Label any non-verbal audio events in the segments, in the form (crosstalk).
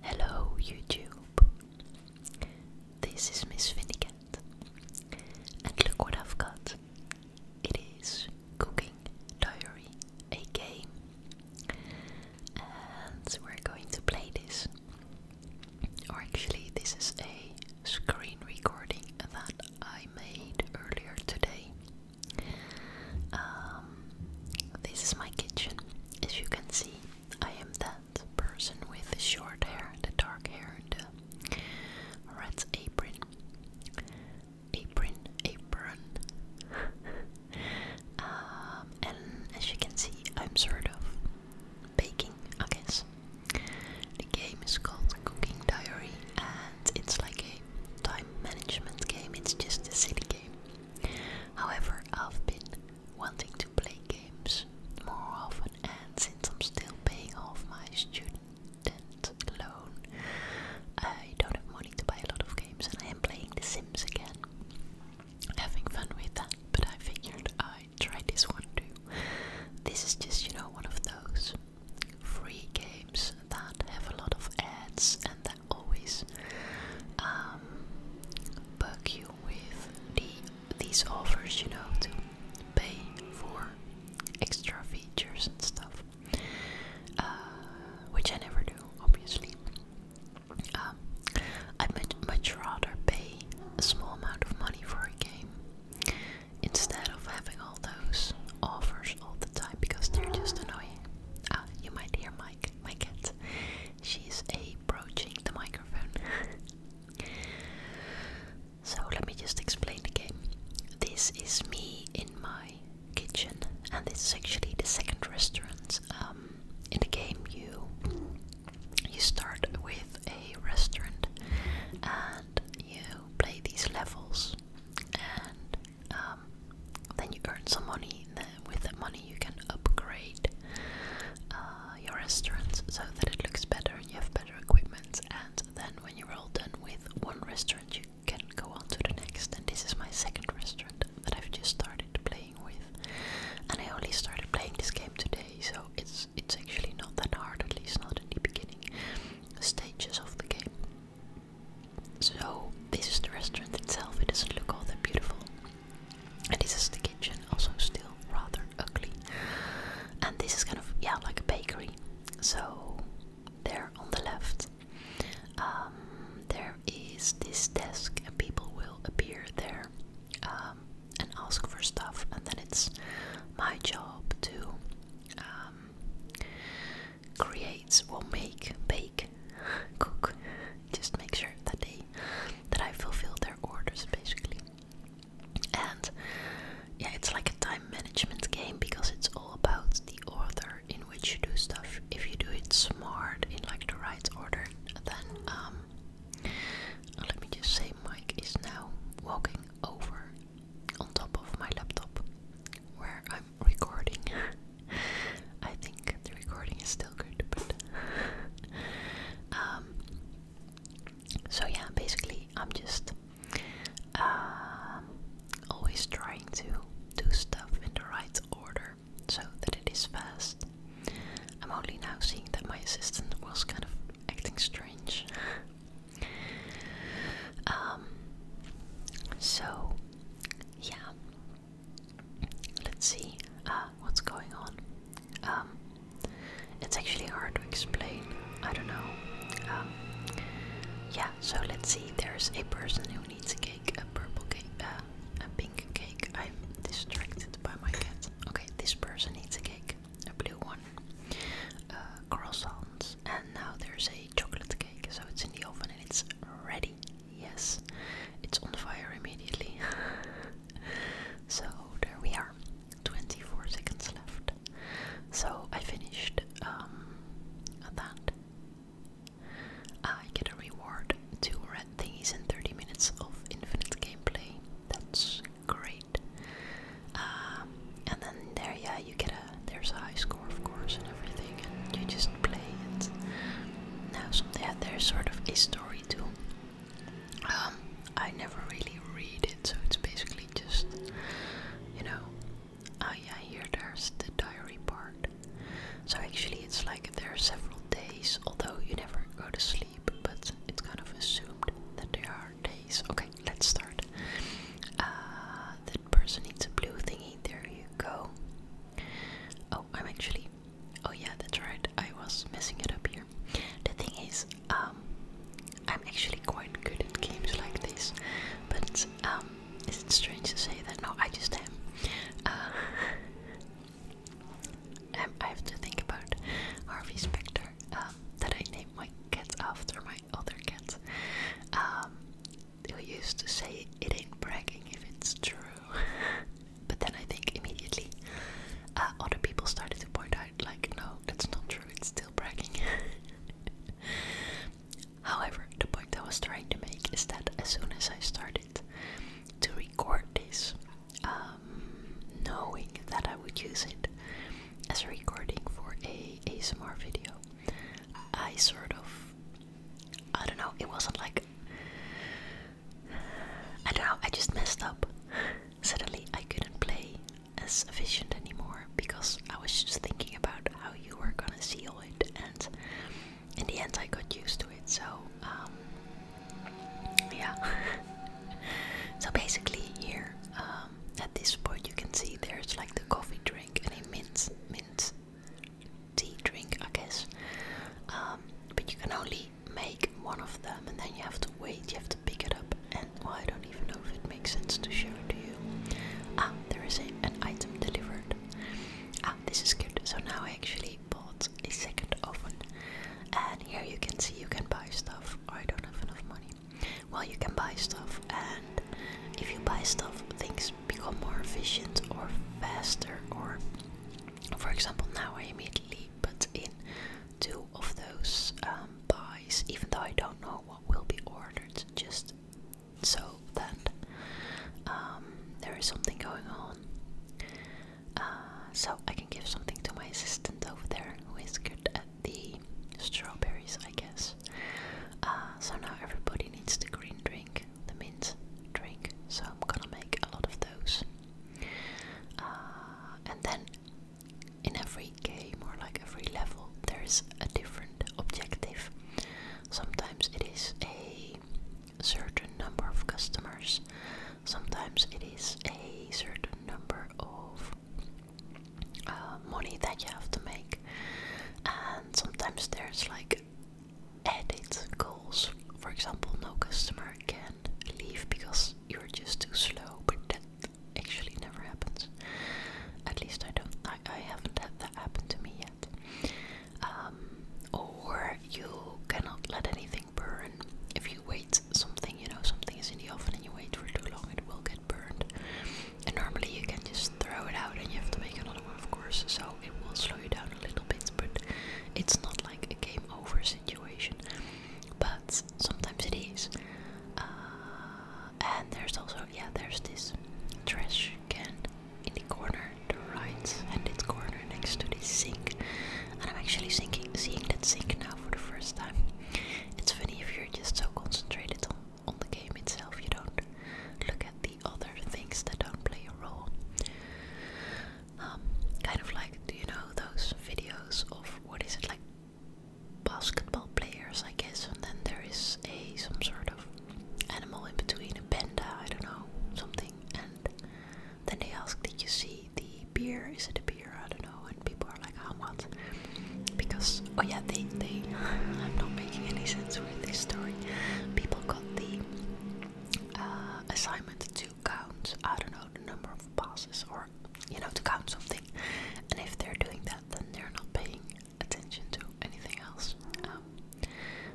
Hello YouTube. This is Miss Vindicat. And look what I've got. It is Cooking Diary, a game. And we're going to play this. Or actually this is a screen recording that I made earlier today. Um, this is my kitchen. As you can see, I am that person with the short hair, the dark hair, and the rat's apron. Apron, apron. (laughs) um, and as you can see, I'm sort of baking, I guess. The game is called Cooking Diary, and it's like a time management game, it's just a city game. However, I've been wanting to play games more often, and since I'm still paying off my student loan, I don't have money to buy a lot of games, and I am playing The Sims again. Having fun with that, but I figured I'd try this one too. This is just, you know, one of those free games that have a lot of ads, and the always um, bug you with these offers, you know, to pay for extra features stuff, uh, which I never do, obviously. Um, I'd much, rather pay a small amount of money for a game instead of having all those offers all the time because they're just annoying. Ah, you might hear my my cat she's approaching the microphone. so let me just explain the game. This is me in my kitchen, and this is actually the second restaurant. Um, in the game, you you start with a restaurant, and you play these levels, and um, then you earn some money with the money you can upgrade uh, your restaurants so that it looks better and you have better equipment. And then when you're all done with one restaurant, you can go on to the next. And this is my second restaurant that I've just started playing with. And I only started playing this game today, so it's it's actually not that hard, at least not in the beginning stages of the game. So this is the restaurant itself. It doesn't look all that beautiful. And this is the kitchen, also still rather ugly. And this is kind of, yeah, like a bakery. So, there on the left, um, there is this desk, and people will appear there um, and ask for stuff. And then it's my job to um, create, well, make, bake, (laughs) cook just make sure that they that I fulfill their orders basically. And yeah, it's like a time management game because it's all about the order in which you do stuff. If you do it smart in like the right order, then um let me just say Mike is now walking over on top of my laptop where I'm recording (laughs) I think the recording is still good, (laughs) um, so yeah, basically, I'm just um, always trying to do stuff in the right order so that it is fast. I'm only now seeing that my assistant was kind of acting strange. (laughs) Um, so yeah, Let's see uh, what's going on. Um, it's actually hard to explain. I don't know. Um, yeah, so let's see. There's a person who needs a cake, a purple cake, uh, a pink cake. I'm distracted by my cat. Okay, this person needs a cake, a blue one, uh, croissants, and now there's a chocolate cake. So it's in the oven and it's ready. Yes, it's on fire immediately. (laughs) so there we are, 24 seconds left. So I finished um, that. I get a reward, two red thingies and 30 minutes of infinite gameplay. That's great. Um, and then there, yeah, you get a there's a high score, of course, everything and you just play it. Now something yeah, there's sort of a story too. Um, I never really read it, so it's basically just you know oh yeah here there's the diary part. So actually it's like there are several days, although you never go to sleep, but it's kind of assumed that there are days. Okay, let's start. Uh, that person needs a blue thingy. There you go. Oh, I'm actually Oh yeah, that's right. I was messing it up here. The thing is, um, I'm actually quite good at games like this, but um, is it strange to say that? No, I just am. Uh, (laughs) um, I have to think about Harvey Specter, that I named my cat after my other cat who used to say it ain't bragging if it's true. (laughs) but then I think immediately uh, other people started to point out, like, no, that's not true, it's still bragging. (laughs) However, the point I was trying to make is that as soon as I started to record this, um, knowing that I would use it as a recording for a ASMR video, I sort of I don't know, it wasn't like. I don't know, I just messed up. Suddenly I couldn't play as efficient anymore because I was just thinking about how you were gonna seal it, and in the end I got used to it, so. Um, yeah. (laughs) so basically, here um, at this point, you can see there's like the coffee drink and a mint mint tea drink, I guess. Um, but you can only make one of them, and then you have to wait. You have to pick it up, and well, I don't even know if it makes sense to show it to you. Ah, there is a, an item delivered. Ah, this is good. So now I actually bought a second oven, and here you can see you can buy stuff. I don't have enough money. Well, you can buy stuff, and if you buy stuff, things become more efficient or faster or for example, now I immediately put in two of those um, pies, even though I don't know what will be ordered, just so that um, there is something going on. Uh, so I can give something to my assistant over there, who is good at the strawberries, I guess. Uh, so now everybody needs the green drink the mint drink, so I'm gonna make a lot of those. Uh, and then in every game or like every level, there's a different objective. Sometimes it is a certain number of customers, sometimes it is a certain number of uh, money that you have to make, and sometimes there's like edit goals. For example, no customer can leave because you're just too slow, but that actually never happens. At least I don't. I, haven't had that happen to me yet. Um, or you cannot let anything burn. If you wait something, you know, something is in the oven and you wait for too long, it will get burned. And normally you can just throw it out and you have to make another one, of course, so it will slow you down a little but it's not like a game over situation. But sometimes it is. Uh, and there's also, yeah, there's this trash can in the corner, the right and this corner next to this sink. And I'm actually thinking, seeing that sink now for the first time. It's funny if you're just so concentrated on, on the game itself, you don't look at the other things that don't play a role. Um, kind of like, do you know those videos of what is it like basketball players, I guess, and then there is a some sort of animal in between, a panda, I don't know, something, and then they ask, did you see the beer? Is it a beer? I don't know, and people are like, how oh, Because oh yeah, they they (laughs) I'm not making any sense with this story. People got the uh, assignment to count, I don't know, the number of passes or, you know, to count something. And if they're doing that, then they're not paying attention to anything else. Um,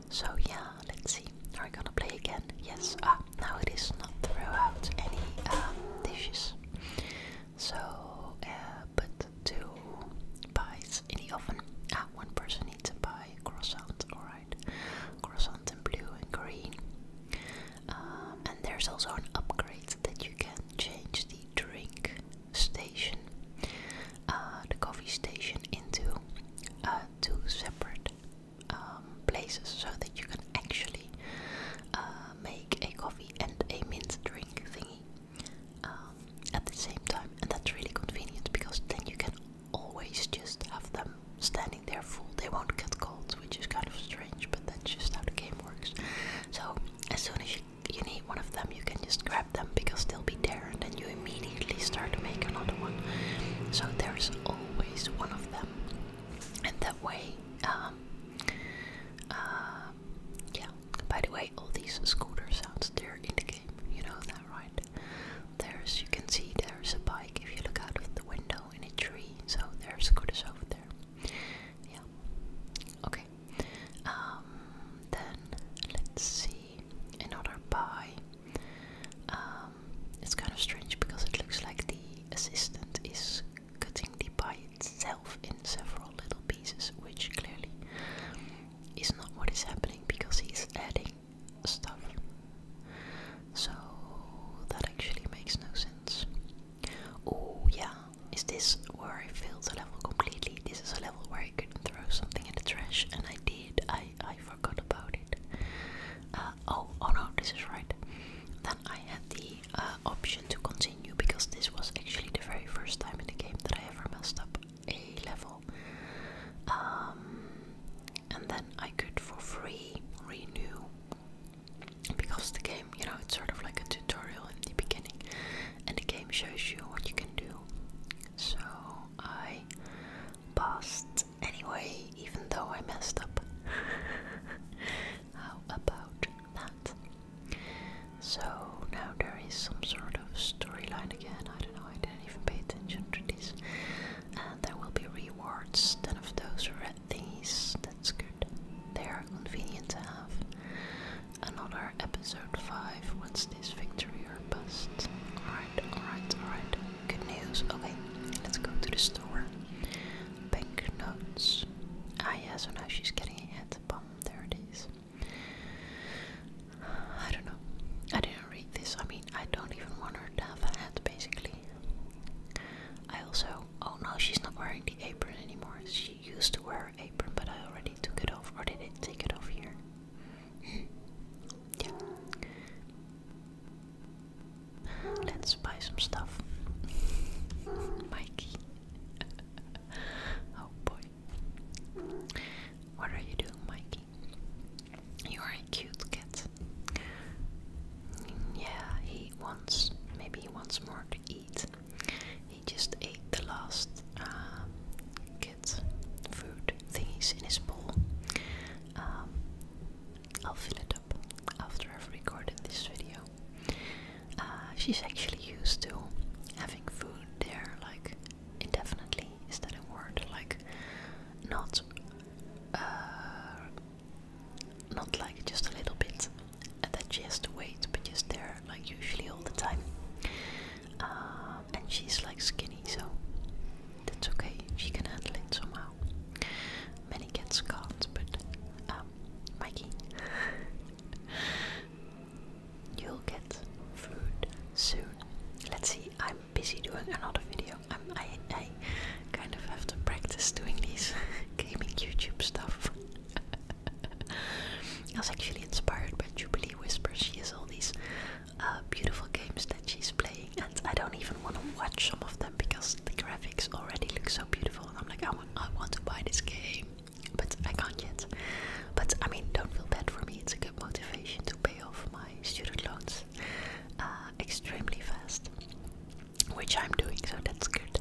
so, yeah, let's see. Are we gonna play again? Yes. Ah, now it is not throw out any um, dishes. So, uh, but two pies in the oven. Ah, one person needs to a pie, croissant, or side, croissants blue and green. Um, and there's also an upgrade that you can change the drink station, uh, the coffee station, into uh, two separate um, places so that you can actually uh, make a coffee and a mint drink thingy. Um, at the same time, and that's really convenient because then you can always just have them standing there full. They won't get cold, which is kind of strange, but that's just how the game works. So as soon as you, you need one of them, you can just grab them because they'll be there, and then you immediately start to make another one. So there's always one of them, and that way, um, uh, yeah. By the way, all these scooter sounds—they're in the game you know that, right? There's, you can see there's a bike if you look out of the window in a tree, so there's a scooters over there. Yeah. Okay. Um, then, let's see, another pie. Um, it's kind of strange because it looks like the assistant is cutting the pie itself in several little pieces, which clearly is not what is happening because he's adding stuff. So that actually makes no sense. Oh yeah, is this where I failed the level completely? This is a level where I could throw something in the trash, and I did. I I forgot about it. Uh, oh oh no, this is right. Then I had the uh, option to continue because this was actually the very first time in the game that I ever messed up a level, um, and then I could for free renew because the game, you know, it's sort of like a tutorial in the beginning, and the game shows you what you can do. So I passed anyway, even though I messed up. (laughs) How about that? So now there is some sort of storyline again. I don't know I didn't even pay attention to this. there will be rewards. Ten of those red things. That's good. They are convenient to have. Another episode 5. What's this? Victory or bust? Alright, alright, alright. Good news. Okay, let's go to the store. Bank notes. Ah, yeah, so now she's getting a head bomb. There it is. I don't know. I didn't read this. I mean, I don't even want her to have a hat, basically. I also. Oh no, she's not wearing the apron anymore. She used to wear an apron, but I already took it off. Or did it take it off here? yeah. Let's buy some stuff. Mikey. (laughs) oh boy. What are you doing, Mikey? You are a cute cat. Yeah, he wants, maybe he wants more to eat. He just ate the last um, cat food thingies in his bowl. Um, I'll fill it up after I've recorded this video. Uh, she's actually used to having food there, like indefinitely. Is that a word? Like not, uh, not like just a little bit, and that she has to wait, but just there, like usually all the time. Uh, and she's like skinny, so that's okay. She can handle it somehow. Many cats can't, but um, Mikey, (laughs) you'll get food soon. Let's see. I'm busy doing another video. Um, i kind of have to practice doing these (laughs) gaming YouTube stuff. (laughs) I was actually inspired by Jubilee Whispers. She has all these uh, beautiful games that she's playing, and I don't even want to watch some of them because the graphics already look so beautiful. And I'm like, I want, I want to buy this game, but I can't yet. But I mean, don't feel bad for me. It's a motivation to pay off my student loans uh, extremely fast, which I'm doing, so that's good.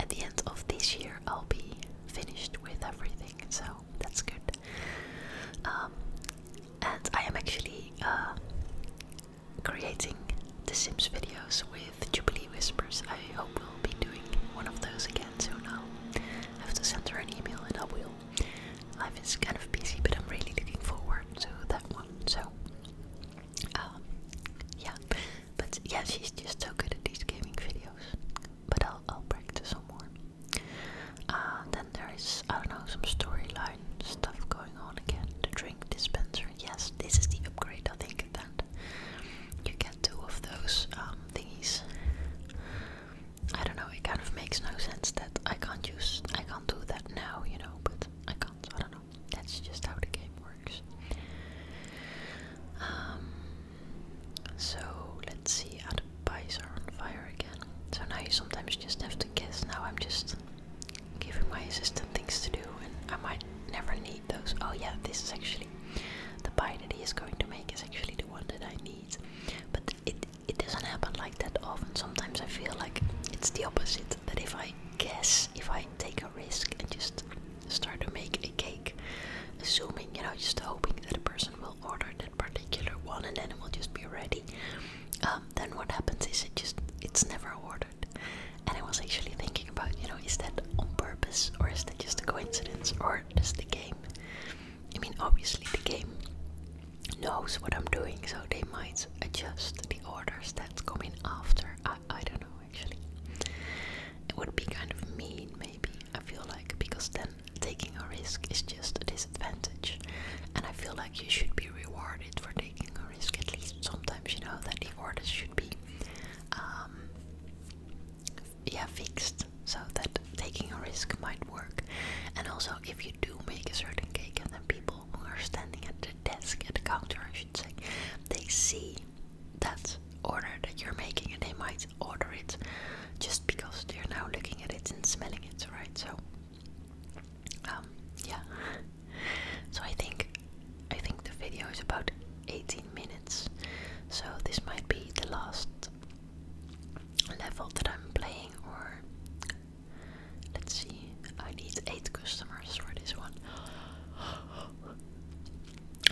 At the end of this year, I'll be finished with everything, so that's good. Um, and I am actually uh, creating the Sims videos with Jubilee Whispers. I hope we'll be doing one of those again soon. i have to send her an email and I will Life is kind of busy, but I'm really looking forward to that one. So, um, yeah. But yeah, she's just so good at these gaming videos. But I'll I'll practice some more. Uh, then there is I don't know some storyline stuff going on again. The drink dispenser. Yes, this is the upgrade I think. Then you get two of those um, thingies. I don't know, it kind of makes no sense that I can't use I can't do that now, you know, but I can't, I don't know. That's just how the game works. Um so let's see how the pies are on fire again. So now you sometimes just have to guess. Now I'm just giving my assistant things to do and I might never need those. Oh yeah, this is actually the pie that he is going to make is actually the one that I need. But it it doesn't happen like that often. Sometimes I feel like it's the opposite. That if I guess, if I take a risk and just start to make a cake, assuming, you know, just hoping that a person will order that particular one and then it will just be ready, um, then what happens is it just, it's never ordered. And I was actually thinking about, you know, is that on purpose or is that just a coincidence or just a game I mean, obviously, the game knows what I'm doing, so they might adjust the orders that come in after. I, I don't know, actually. It would be kind of mean, maybe, I feel like, because then taking a risk is just a disadvantage. And I feel like you should be rewarded for taking a risk, at least sometimes, you know, that the orders should be. Um, yeah, fixed so that taking a risk might work. And also, if you do make a certain cake, and then people who are standing at the desk, at the counter, I should say, they see that order that you're making and they might order it just because they're now looking at it and smelling it, right? So, um, yeah. So I think, I think the video is about 18 minutes, so this might be the last level that I'm playing or let's see I need eight customers for this one. (gasps)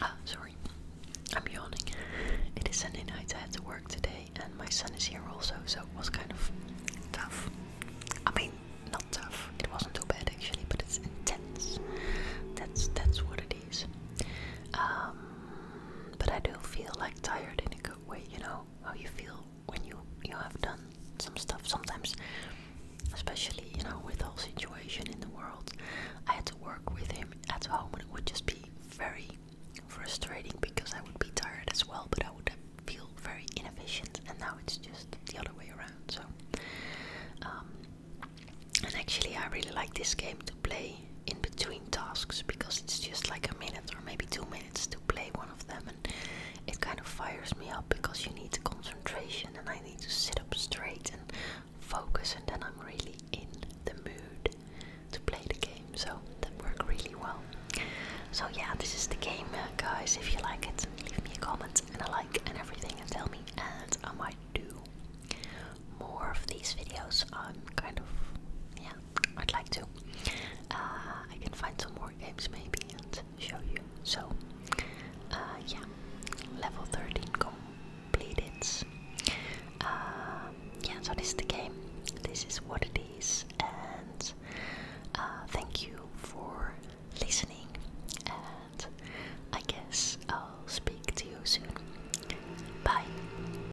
Ah, sorry. I'm yawning. It is Sunday night, I had to work today and my son is here also, so it was kind of tough. I mean not tough. It wasn't too bad actually, but it's intense. That's that's what it is. Um but I do feel like tired in Way you know how you feel when you you have done some stuff sometimes especially you know with the whole situation in the world i had to work with him at home and it would just be very frustrating because i would be tired as well but i would feel very inefficient and now it's just the other way around so um and actually i really like this game play in between tasks because it's just like a minute or maybe two minutes to play one of them, and it kind of fires me up because you need concentration and I need to sit up straight and focus, and then I'm really in the mood to play the game, so that worked really well. So, yeah, this is the game, uh, guys. If you like it, leave me a comment and a like and everything, and tell me, and I might do more of these videos. I'm kind of, yeah, I'd like to. Uh, I can find some more games maybe and show you. So, uh, yeah, level 13 completed. Uh, yeah, so this is the game. This is what it is. And thank you for listening. And I guess I'll speak to you soon. Bye.